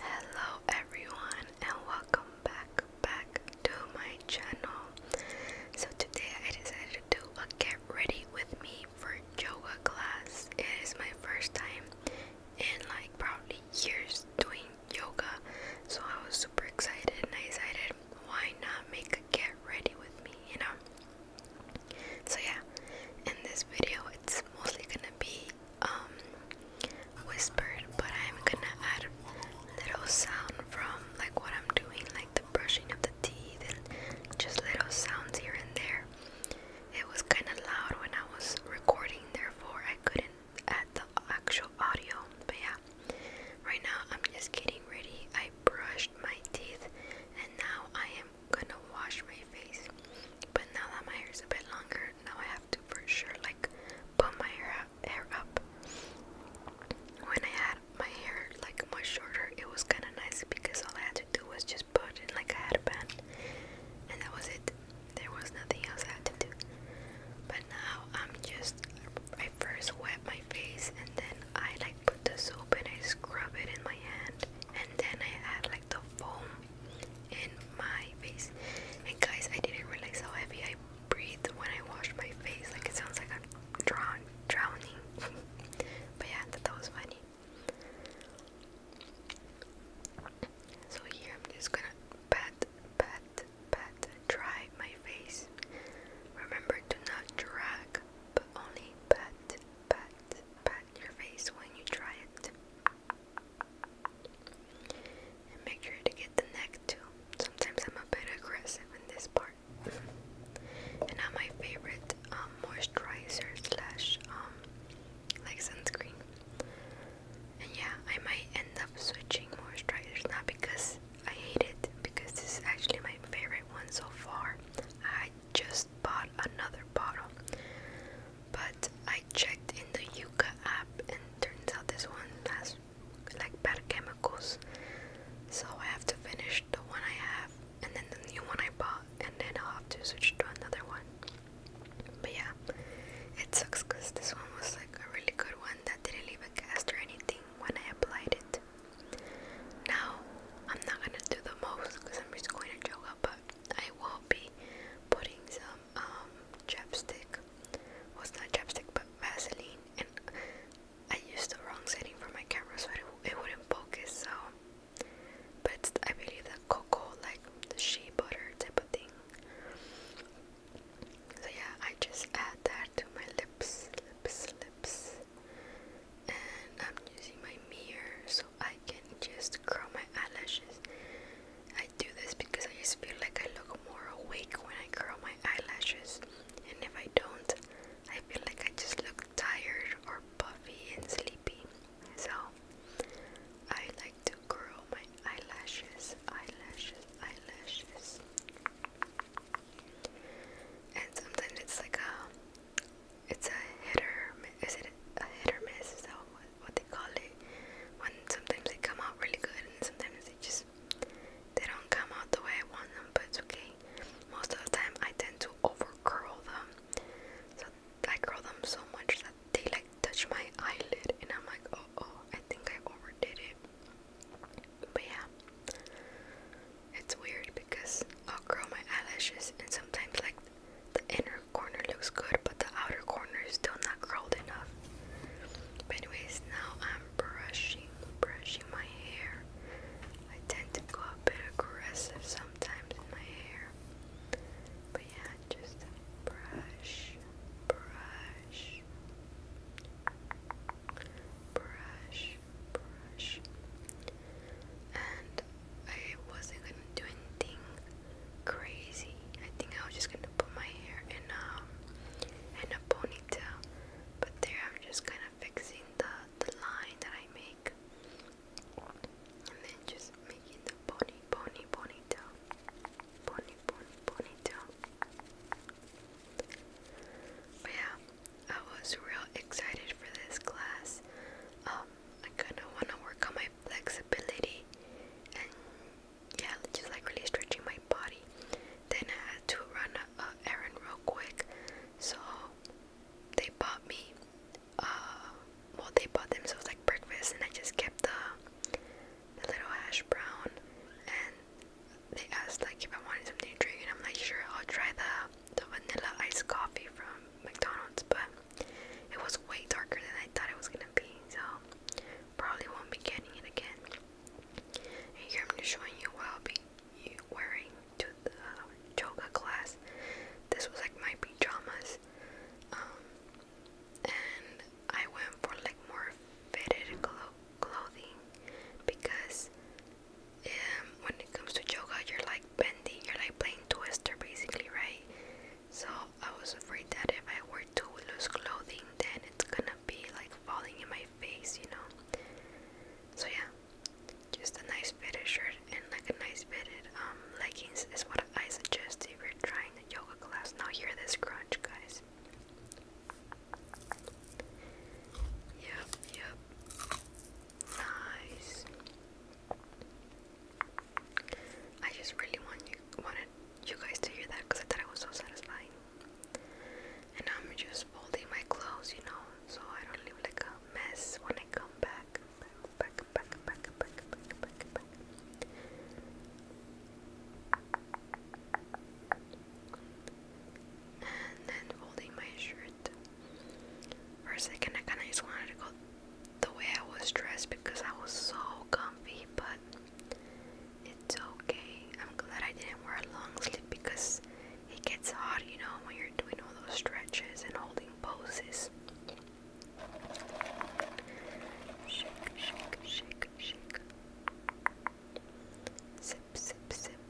Hello everyone and welcome back back to my channel. So today I decided to do a get ready with me for yoga class. It is my first time in like probably years doing yoga. So I was super excited and I decided why not make a get ready with me, you know? So yeah, in this video it's mostly gonna be um, whispered, but I'm gonna add little sound from like what I'm doing, like the brushing of the teeth and just little sounds here and there. It was kind of loud when I was recording, therefore I couldn't add the actual audio. But yeah, right now I'm just getting ready. I brushed my teeth and now I am. I'm gonna wash my face. But now that my hair is a bit longer, now I have to for sure like put my hair up, hair up. When I had my hair like much shorter, it was kind of nice because all I had to do was just put it like I had a band, and that was it. There was nothing else I had to do. But now I'm just I first wet my face and then I like put the soap and I scrub it in my hand and then I add like the foam in my face. And guys, I didn't realize how heavy I breathe when I wash my face. Like it sounds like I'm drown drowning. but yeah, that was funny. So here I'm just gonna pat, pat, pat, dry my face. Remember to not drag, but only pat, pat, pat your face when you try it. And make sure to get the neck too. Sometimes I'm a bit aggressive in this part. and now my favorite um, moisturizer slash um, like sunscreen. And yeah, I might end up switching moisturizers not because I hate it, because this is actually my favorite one so far. I just bought another bottle. But I checked in the Yuka app and turns out this one has like bad chemicals. So I have to finish the one I have and then the new one I bought and then I'll have to switch to another one. But yeah, it sucks because this one was like a really good one that didn't leave a cast or anything when I applied it. Now, I'm not gonna do the most because I'm just going to joke up, but I will be putting some um, chapstick. Was it's not chapstick, but Vaseline. And I used the wrong setting for my camera, so it, wouldn't focus. So, but I believe that cocoa, like the shea butter type of thing. So yeah, I just add that to my lips, lips, lips and I'm using my mirror so I can just curl my eyelashes. I do this because I just feel like I look more awake when I curl my eyelashes, and if I don't, I feel like I just look tired or puffy and sleepy. So I like to curl my eyelashes, eyelashes, eyelashes. And sometimes it's like a it's a hitter. Is it a hit or miss? Is that what, they call it? When sometimes they come out really good, and sometimes they just they don't come out the way I want them. But it's okay. Most of the time, I tend to over them. So I curl them so much that they like touch my eyelid, and I'm like, oh oh, I think I overdid it. But yeah, it's weird because I'll curl my eyelashes and sometimes like the inner corner looks good, but the outer corner is still not curled enough. But anyways, now I'm brushing, brushing my hair. I tend to go a bit aggressive sometimes in my hair. But yeah, just brush, brush, brush, brush and I wasn't gonna do anything crazy. I think I was just gonna put my hair in um in a ponytail. But there I'm just kinda fixing the, the line that I make and then just making the pony pony ponytail. Pony pony ponytail. But yeah, I was real excited for this class. Um, I kind of want to work on my flexibility and yeah, just like really stretching my body. Then I had to run a, errand real quick, so they bought me. Uh, well, they bought themselves like breakfast, and I just kept the, the little hash brown and they asked like if I wanted something to drink, and I'm like, sure, I'll try the the vanilla iced coffee from McDonald's, but it was way darker than I thought it was gonna be, so probably won't be getting it again. here I'm just showing you what I'll be wearing to the yoga class. This was like my pajamas, dramas, um, and I went for like more fitted clothes clothing because um, when it comes to yoga, you're like bending, you're like playing twister basically, right? So I was afraid that if I were to lose clothing, then it's gonna be like falling in my face, you know? So yeah, just a nice fitted shirt and like a nice fitted um, leggings is what I suggest if you're trying a yoga class. Now hear this crunch, guys. Yep, yep. Nice. I just really wanted you guys to hear that because I thought it was so satisfying. And I'm just folding my clothes, you know, so I don't leave like a mess when I come back. Back, back, back, back, back, back, back, back and then folding my shirt. For a second, I kind of just wanted to go the way I was dressed because I was so comfy, but it's okay. I'm glad I didn't wear a long sleeve because it gets hot, you know, when you're doing all those stretches and holding poses. Shake, shake, shake, shake. Zip zip zip.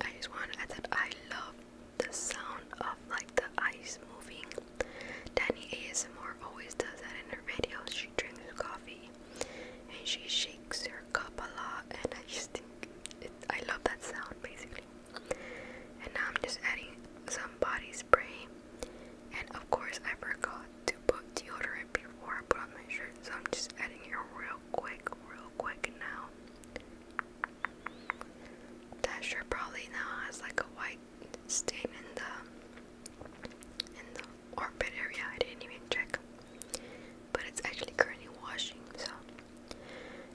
I just want to add that I love the sound of like the ice moving. Danny ASMR always does that in her videos. She drinks coffee and she shakes her cup a lot, and I just think it, I love that sound basically. And now I'm just adding some body spray and of course, I forgot to put deodorant before I put on my shirt, so I'm just adding it real quick, real quick now. That shirt probably now has like a white stain in the in the armpit area. I didn't even check, but it's actually currently washing. So,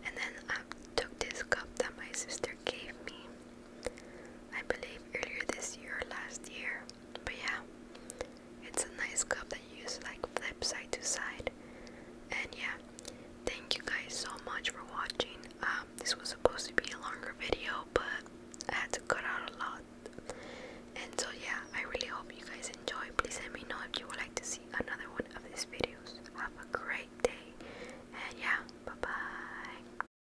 and then I took this cup that my sister gave me. I believe earlier this year, last year, but yeah, it's a nice cup that you use like flip side to side. And yeah, thank you guys so much for watching. Um, this was supposed to be a longer video, but I had to cut out a lot. And so yeah, I really hope you guys enjoy. Please let me know if you would like to see another one of these videos. Have a great day. And yeah, bye bye.